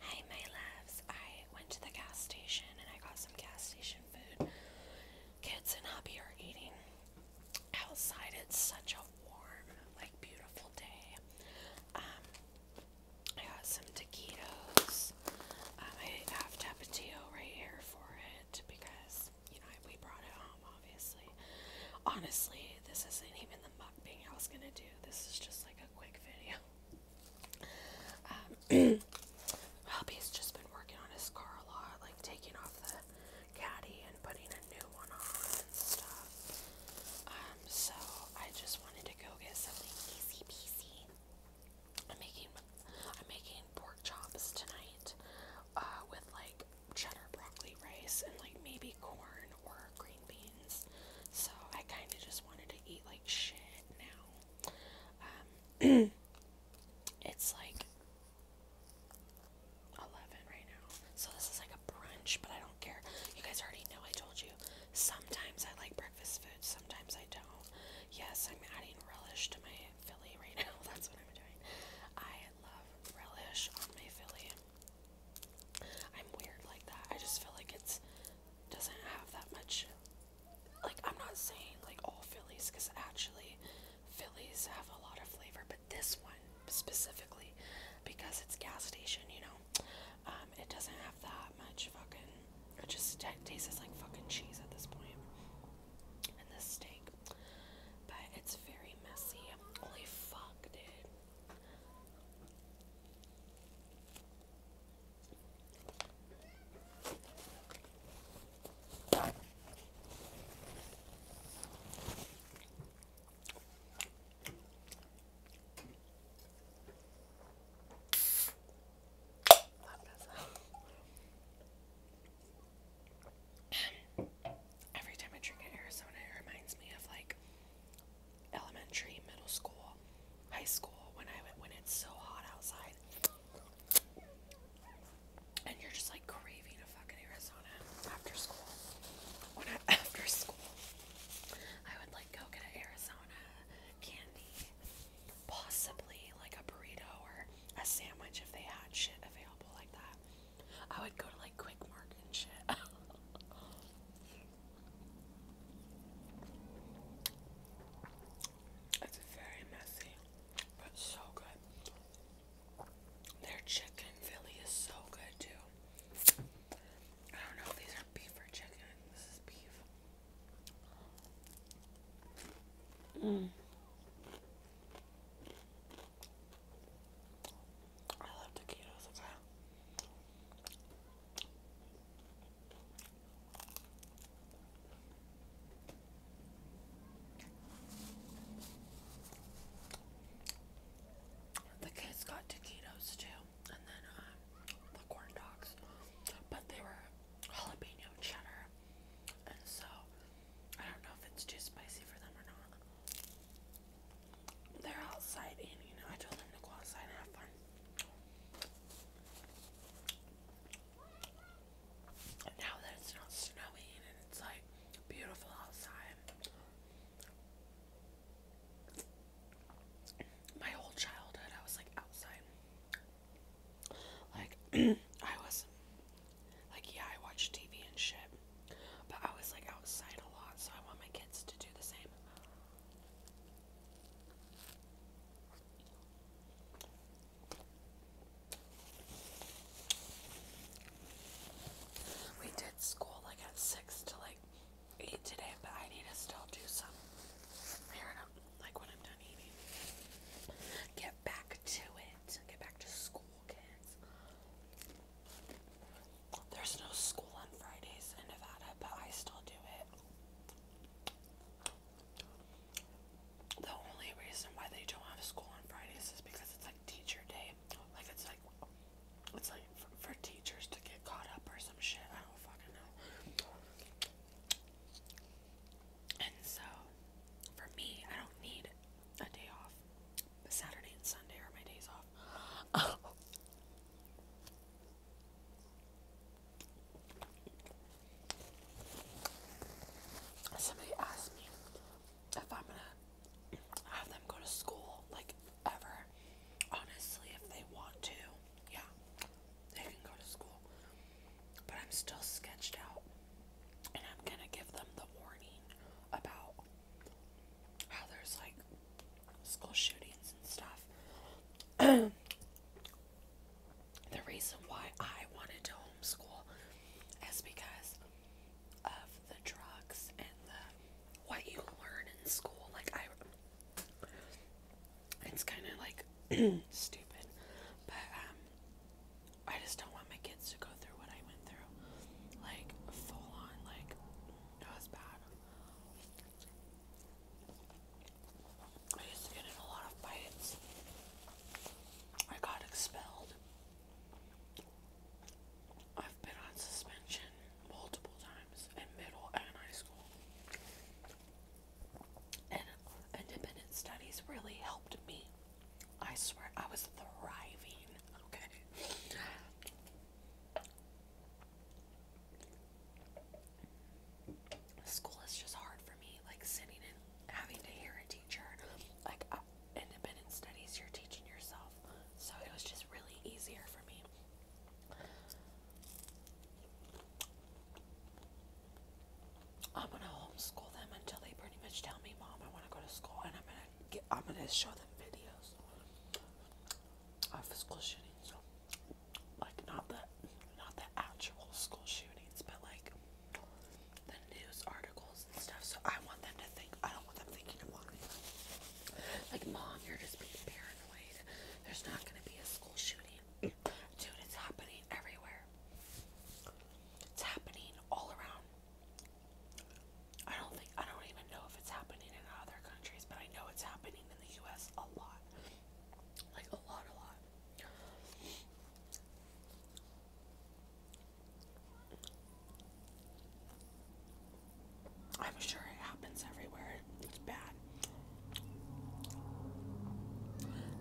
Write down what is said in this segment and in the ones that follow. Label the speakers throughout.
Speaker 1: Hi, my loves. I went to the gas station and I got some gas station food. Kids and hubby are eating outside. It's such a warm, like beautiful day. Um, I got some taquitos. Um, I have tapatio right here for it because you know we brought it home, obviously. Honestly, this isn't even the mukbang I was gonna do. This is just like a quick video. Um, hubby's just been working on his car a lot, like taking off the caddy and putting a new one on and stuff. Um, so I just wanted to go get something easy peasy. I'm making I'm making pork chops tonight, uh, with like cheddar broccoli rice and like maybe corn or green beans. So I kind of just wanted to eat like shit now. Um, it's like 11 right now. So this is like a brunch, but I don't care. You guys already know I told you. Sometimes I like breakfast food, sometimes I don't. Yes, I'm adding relish to my Philly right now. That's what I'm doing. I love relish on my Philly. I'm weird like that. I just feel like it's doesn't have that much. Like, I'm not saying like all Phillies, because actually, Phillies have a lot of flavor, but this one specifically, because it's gas station, you know, um, it doesn't have that much fucking. It just tastes like fucking cheese at this point. And this steak. But it's very messy. Holy fuck, dude. Every time I drink an Arizona, it reminds me of like elementary, middle school, high school when I when it's so hot outside, and you're just like craving a fucking Arizona after school. When I, after school, I would like go get an Arizona candy, possibly like a burrito or a sandwich if they had shit available like that. I would go to like Quick Mart and shit. It's very messy, but so good. Their chicken Philly is so good too. I don't know if these are beef or chicken. This is beef. Mm. I love taquitos, okay? The kids got taquitos too, and then um, the corn dogs, but they were jalapeno cheddar, and so I don't know if it's too spicy for them or not. They're outside and You know, I told them to go outside and have fun now that it's not snowing and it's like beautiful outside, my whole childhood I was like outside. Like, I was, like, yeah, I watched TV and shit, but I was like outside a lot, so I want my kids to do the same. We did school like at 6 to like 8 today, but I need to still do some here like when I'm done eating. Get back to it. Get back to school, kids. There's no school on Fridays in Nevada, but I still do it. The only reason why they don't have school on Fridays is because it's like teacher day. Like it's like it's like for, teachers to get caught up or some shit. I don't fucking know. And so for me, I don't need a day off. Saturday and Sunday are my days off. Somebody asked me if I'm gonna have them go to school, like ever. Honestly, if they want to, yeah, they can go to school. But I'm still sketched out, and I'm gonna give them the warning about how there's like school shootings and stuff. the reason why I wanted to homeschool is because of the drugs and the what you learn in school. Like I, it's kind of like stupid, but um, I just don't want my kids to go through what I went through, like full on. Like it was bad. I used to get in a lot of fights. I got expelled. I've been on suspension multiple times in middle and high school. And independent studies really helped me. I swear I was thriving. Okay. School is just hard for me, like sitting and having to hear a teacher. Like uh, independent studies, you're teaching yourself, so it was just really easier for me. I'm gonna homeschool them until they pretty much tell me, "Mom, I want to go to school," and I'm gonna get, I'm gonna show them videos of school shootings. Like not the not the actual school shootings, but like the news articles and stuff. So I want them to think I don't want them thinking about me. Like mom, you're just being paranoid. There's not gonna be a school shooting. Dude, it's happening everywhere. It's happening all around. I don't think I don't even know if it's happening in other countries, but I know it's happening in the US a lot. Like a lot, a lot. I'm sure it happens everywhere. It's bad.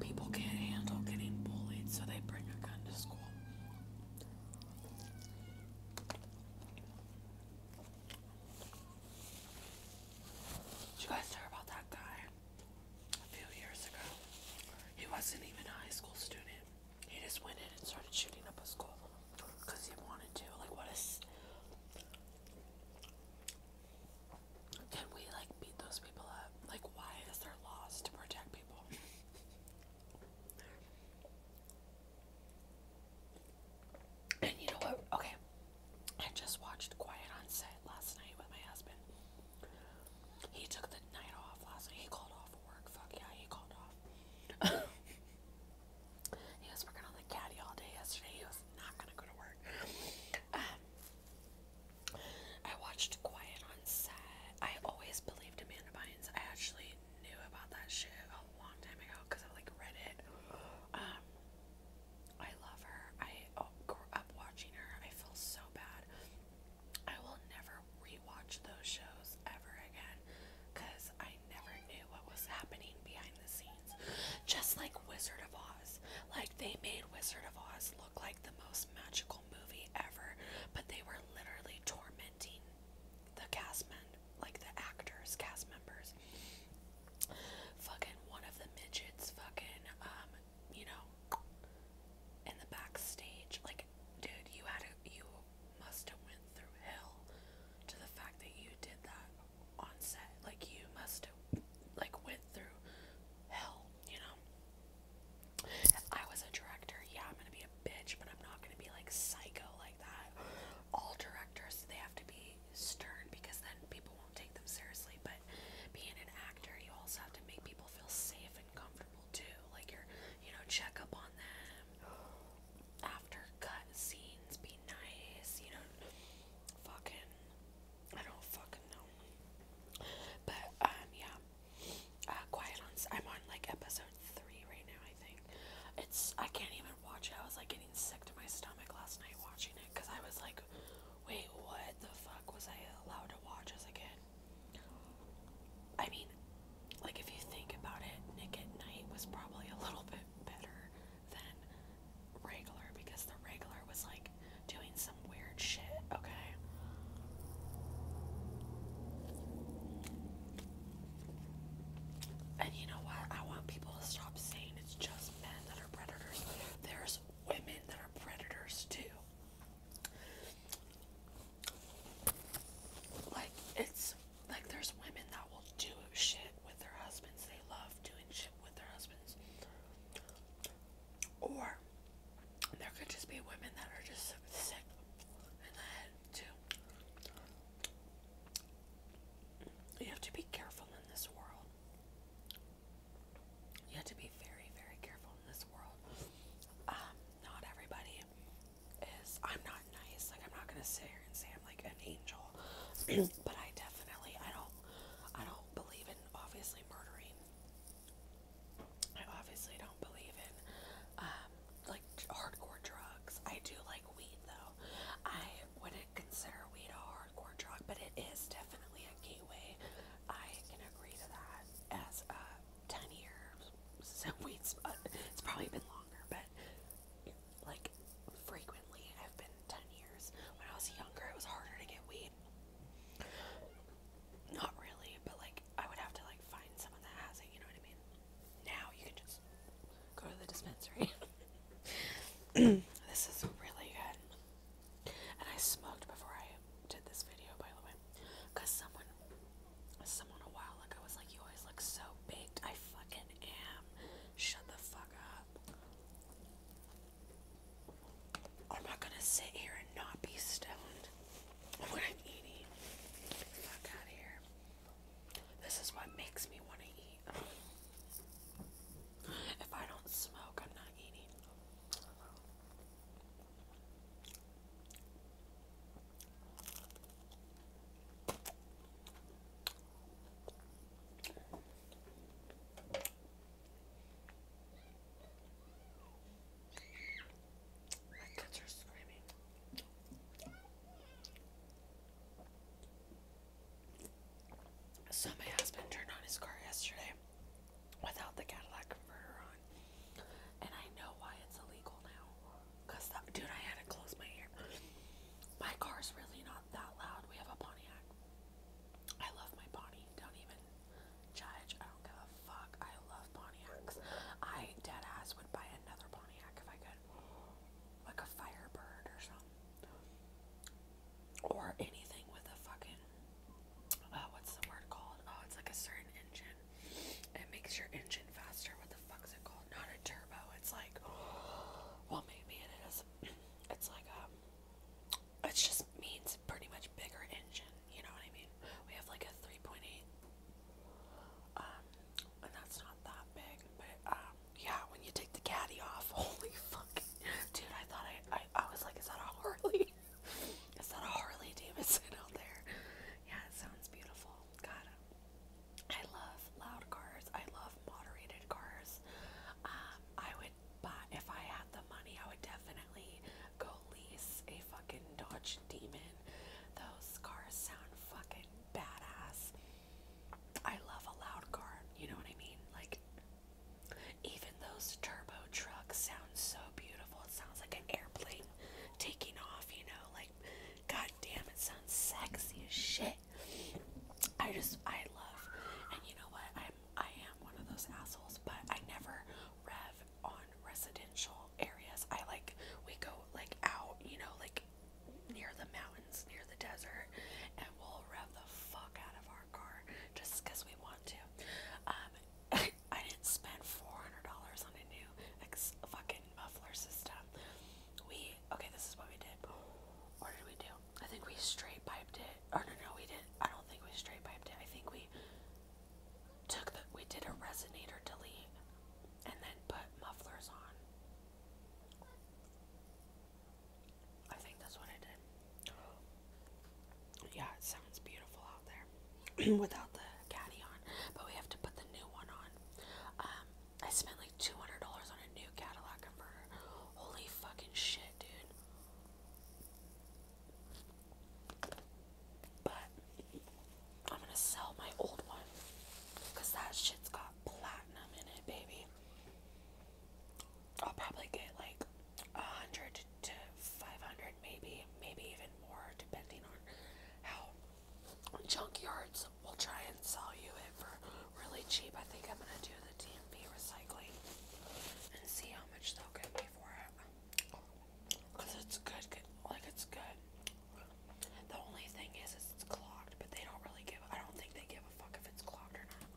Speaker 1: People can't handle getting bullied, so they bring a gun to school. Did you guys hear about that guy a few years ago? He wasn't even a high school student. He just went in and started shooting up a school because he wanted to. Like, what is. Can we, like, beat those people up? Like, why is there laws to protect people? And you know what? Okay. I just watched Quiet on Set last night with my husband. He took the night off last night. He called off work. Fuck yeah, he called off. he was working on the caddy all day yesterday. He was not gonna go to work. Um, I watched Quiet on Set. I always believed Amanda Bynes. I actually knew about that shit a long time ago because I like read it. Um, I love her. I uh, grew up watching her. I feel so bad. I will never rewatch those shows ever again because I never knew what was happening behind the scenes. Just like Wizard of Oz. Like they made Wizard of Oz look like the most magical movie ever, but they were literally tormenting the cast men, like the actors, cast members fucking one of the midgets fucking um you know in the backstage like dude you had to, you must have went through hell to the fact that you did that on set like you must have like went through hell you know if I was a director yeah I'm gonna be a bitch but I'm not gonna be like psycho like that all directors they have to be stern because then people won't take them seriously, but being an actor, you also have to make people feel safe and comfortable too. Like you're, you know, check up on them after cut scenes, be nice, you know, fucking, I don't fucking know. But, um, yeah, uh, Quiet on, I'm on like episode three right now, I think. It's, I can't even watch it. I was like getting sick to my stomach last night watching it because I was like, wait, what the fuck was I allowed to watch as a kid? I mean, like if you think about it, Nick at Night was probably a little bit better than regular because the regular was like doing some weird shit, okay? And you know what? I want people to stop saying it's just men that are predators. There's women that are predators too. Like it's like there's women that will do shit with their husbands. They love doing shit with their husbands. Or there could just be women that are just sick in the too. You have to be careful in this world. You have to be very, very careful in this world. Um, not everybody is. I'm not nice. Like I'm not gonna sit here and say I'm like an angel, but I definitely I don't I don't believe in obviously murdering. I obviously don't believe in um, like hardcore drugs. I do like weed though. I wouldn't consider weed a hardcore drug, but it is definitely a gateway. I can agree to that. As a ten years, so weed it's probably been longer, but like frequently, I've been ten years. When I was younger, it was harder to get weed. Not really, but like I would have to like find someone that has it. You know what I mean? Now you can just go to the dispensary. this is really good. And I smoked before I did this video, by the way, because someone, someone a while ago was like, "You always look so baked." I fucking am. Shut the fuck up. I'm not gonna sit here and not be stoned I'm eating. Fuck out of here. This is what makes me want to eat. If I don't smoke, I'm not eating. My kids are screaming. So my husband turned on his car yesterday without the Cadillac converter on. And I know why it's illegal now. Cause dude, I had to close my ear. My car's really not that loud. We have a Pontiac. I love my Pontiac. Don't even judge. I don't give a fuck. I love Pontiacs. I dead ass would buy another Pontiac if I could. Like a Firebird or something or anything with a fucking uh, what's the word called? Oh, it's like a certain engine. It makes your engine faster. What the fuck's it called? Not a turbo. It's like, well, maybe it is. It's like um, it just means pretty much bigger engine. You know what I mean? We have like a 3.8, um, and that's not that big, but um, yeah, when you take the caddy off, holy fuck, dude! I thought I, I, was like, is that a Harley? is that a Harley Davidson out there? Yeah, it sounds beautiful. God, I love loud cars. I love moderated cars. Um, I would buy if I had the money. I would definitely go lease a fucking Dodge Demon. Those cars sound fucking badass. I love a loud car. You know what I mean? Like even those turbo trucks sound so beautiful. It sounds like an airplane taking off, you know, like god damn it sounds sexy as shit. I just I love and you know what I'm I am one of those assholes, but I never rev on residential areas. I like we go like out, you know, like near the mountains, near the desert, and we'll rev the fuck out of our just because we want to. Um, I didn't spend four hundred dollars on a new fucking muffler system. We okay, this is what we did. What did we do? I think we straight piped it. Or oh, no, no, we didn't. I don't think we straight piped it. I think we took the we did a resonator delete and then put mufflers on. I think that's what I did. Yeah, it sounds beautiful out there without the caddy on, but we have to put the new one on. Um, I spent like $200 on a new Cadillac converter. Holy fucking shit, dude. But I'm gonna sell my old one because that shit's got platinum in it, baby. I'll probably get like a hundred to five hundred, maybe, maybe even more, depending on how junkyards will try and sell you it for really cheap. I think I'm gonna do the TMV recycling and see how much they'll get me for it. Cause it's good, good like it's good. The only thing is, is it's clogged, but they don't really give. I don't think they give a fuck if it's clogged or not.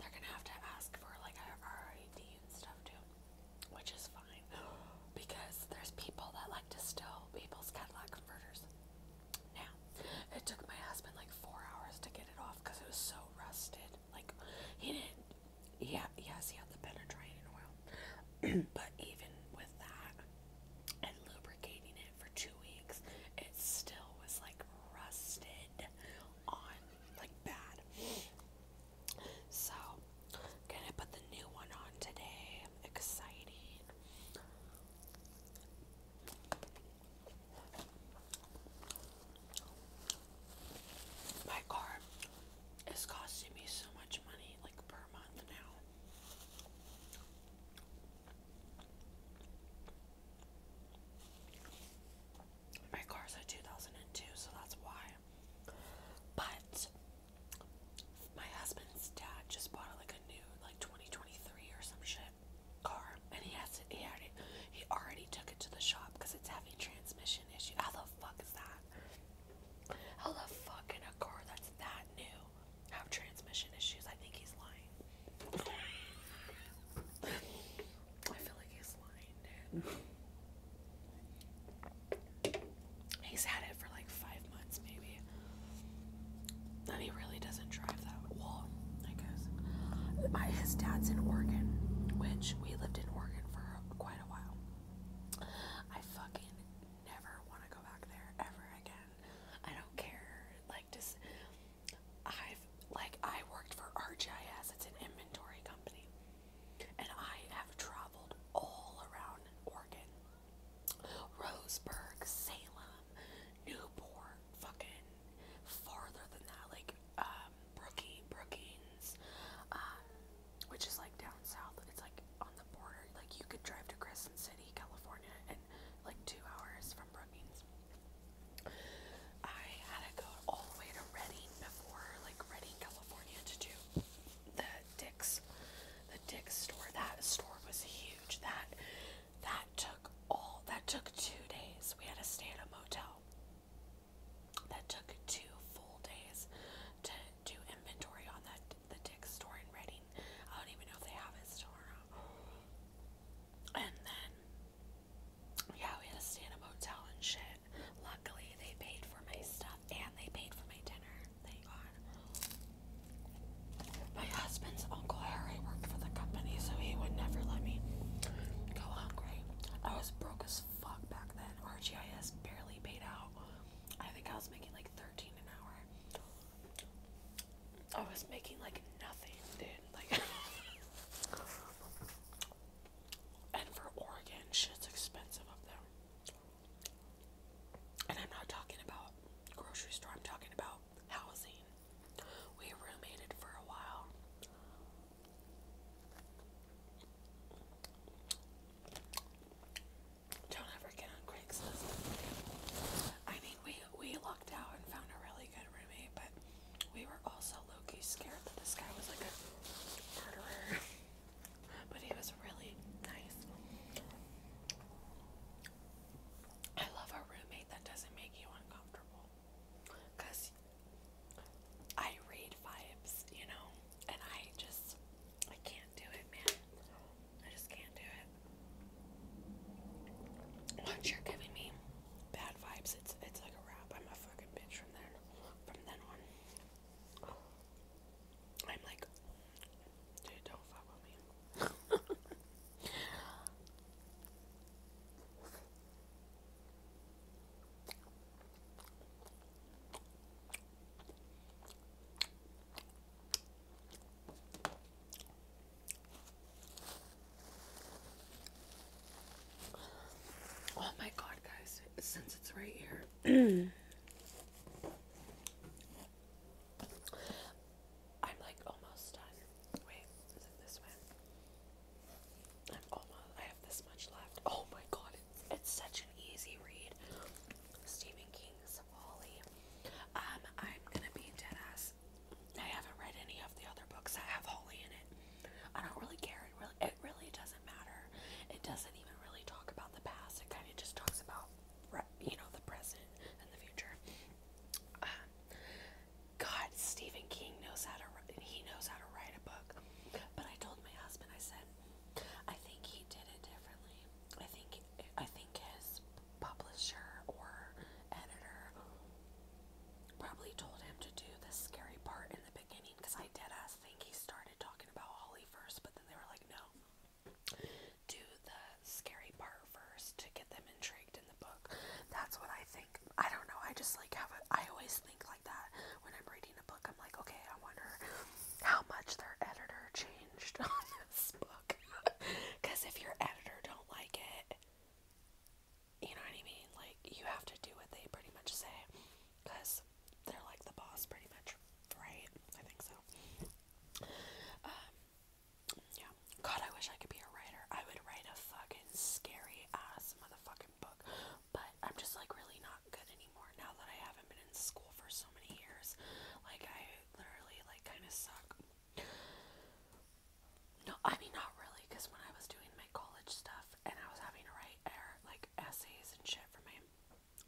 Speaker 1: They're gonna have to ask for like our RID and stuff too, which is fine because there's people that like to steal people's Cadillac converters. Now, it took my husband like four hours to get it off because it was so rusted. Like he didn't. Yeah, yes, he had the penetrating oil, but even with that and lubricating it for two weeks, it still was like rusted on, like bad. So, gonna put the new one on today. Exciting. My car it's costing me so much money, like per month now. My car's a 2002, so that's why. But my husband's dad just bought like a new, like 2023 or some shit car, and he has it. He already, he already took it to the shop because it's having transmission issue. How the fuck is that? How the fuck can a car that's that new have transmission issues? I think he's lying. I feel like he's lying, dude. He's had it for like five months, maybe. And he really doesn't drive that well, I guess. his dad's in Oregon, which we lived in Oregon for quite a while. I fucking never want to go back there ever again. I don't care. Like just I've like I worked for RGIS, it's an inventory company. And I have traveled all around Oregon. Roseburg, Salem, Newport, fucking farther than that, like um Brookie, Brookings, um, which is like down south. It's like on the border. Like you could drive to Crescent City, California, and like two hours from Brookings. I had to go all the way to Redding before, like Redding, California, to do the Dick's, the Dick's store. That store was huge. That that took all. That took two days. We had to stay at a motel. That took two full days to do inventory on that the Dick's store in Reading. I don't even know if they have it still And then, yeah, we had to stay in a motel and shit. Luckily, they paid for my stuff and they paid for my dinner. Thank God. My husband's Uncle Harry worked for the company, so he would never let me go hungry. I was broke as fuck back then. RGIS barely paid out. I think I was making like thirteen an hour. I was making like nothing, dude. Like And for Oregon, shit's expensive up there. And I'm not talking about grocery store, I'm talking about housing. We roommated for a while. Don't ever get on Craigslist. I mean, we we lucked out and found a really good roommate, but we were also low-key scared that this guy was like a murderer. but he was really nice. I love a roommate that doesn't make you uncomfortable. Cause I read vibes, you know, and I just I can't do it, man. I just can't do it. Once you're giving me bad vibes, it's it's like a wrap. I'm a fucking bitch from then from then on. I'm like, dude, don't fuck with me. Oh my god, guys, since it's right here. I'm like almost done. Wait, is it this way? I'm almost I have this much left. Oh my god, it's, such an easy read. Stephen King's Wally. Um, I'm gonna be dead ass. I haven't read any of the other books that have Holly in it. I don't really care. It really, doesn't matter. It doesn't even really talk about the past. It kind of just talks about, you know, the present and the future. Um, God, Stephen King knows how to. He knows how to write a book. But I told my husband, I said, I think he did it differently. I think I think his publisher or editor probably told him to do the scary part in the beginning because I did. ass think he started talking about Holly first, but then they were like, no, do the scary part first to get them intrigued in the book. That's what I think. I don't know. I just like have I always think like that when I'm reading a book. I'm like, okay, I wonder how much their editor changed on this book. Because if your editor don't like it, you know what I mean? Like, you have to do what they pretty much say. Because they're like the boss, pretty much, right? I think so. Um, yeah. God, I wish I could be a writer. I would write a fucking scary ass motherfucking book. But I'm just like really not good anymore now that I haven't been in school for so many years. Like I literally like kind of suck. No, I mean not really, because when I was doing my college stuff and I was having to write er, like essays and shit for my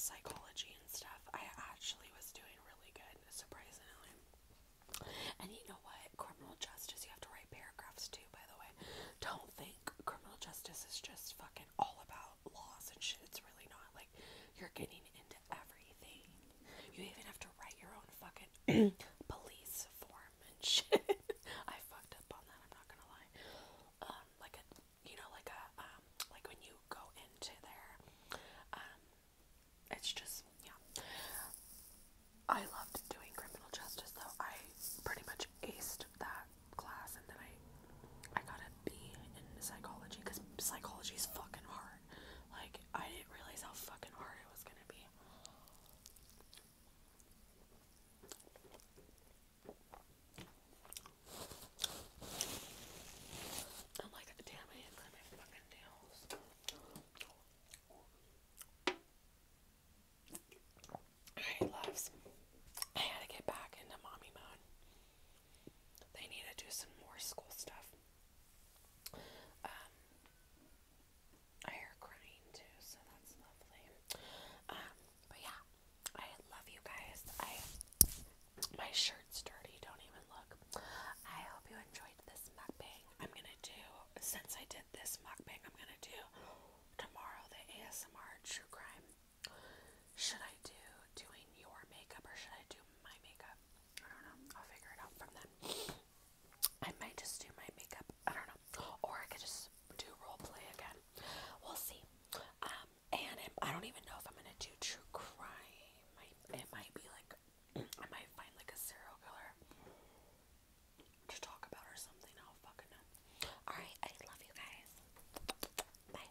Speaker 1: psychology and stuff, I actually was doing really good, surprisingly. And you know what? Criminal justice, you have to write paragraphs too, by the way. Don't think criminal justice is just fucking all about laws and shit. It's really not like you're getting into everything. You even have to write your own fucking police form and shit. I fucked up on that. I'm not gonna lie. Um, like a, you know, like a, um, like when you go into there, um, it's just yeah. I loved doing criminal justice though. I pretty much aced that class, and then I I got a B in psychology because psychology is fucking hard. Like, I didn't realize how fucking hard it was gonna be. I'm like, damn, I didn't clean my fucking nails. Alright, loves. I had to get back into mommy mode. They need to do some more school stuff. Um, I hear crying too, so that's lovely. Um, but yeah, I love you guys. I my shirt's dirty. Don't even look. I hope you enjoyed this mukbang. I'm gonna do since I did this mukbang, I'm gonna do tomorrow the ASMR true crime should I do doing your makeup or should I do my makeup? I don't know. I'll figure it out from then. I might just do my makeup. I don't know. Or I could just do role play again. We'll see. Um, and I don't even know if I'm gonna do true crime. I, it might be like I might find like a serial killer to talk about or something. I do fucking know. All right, I love you guys. Bye.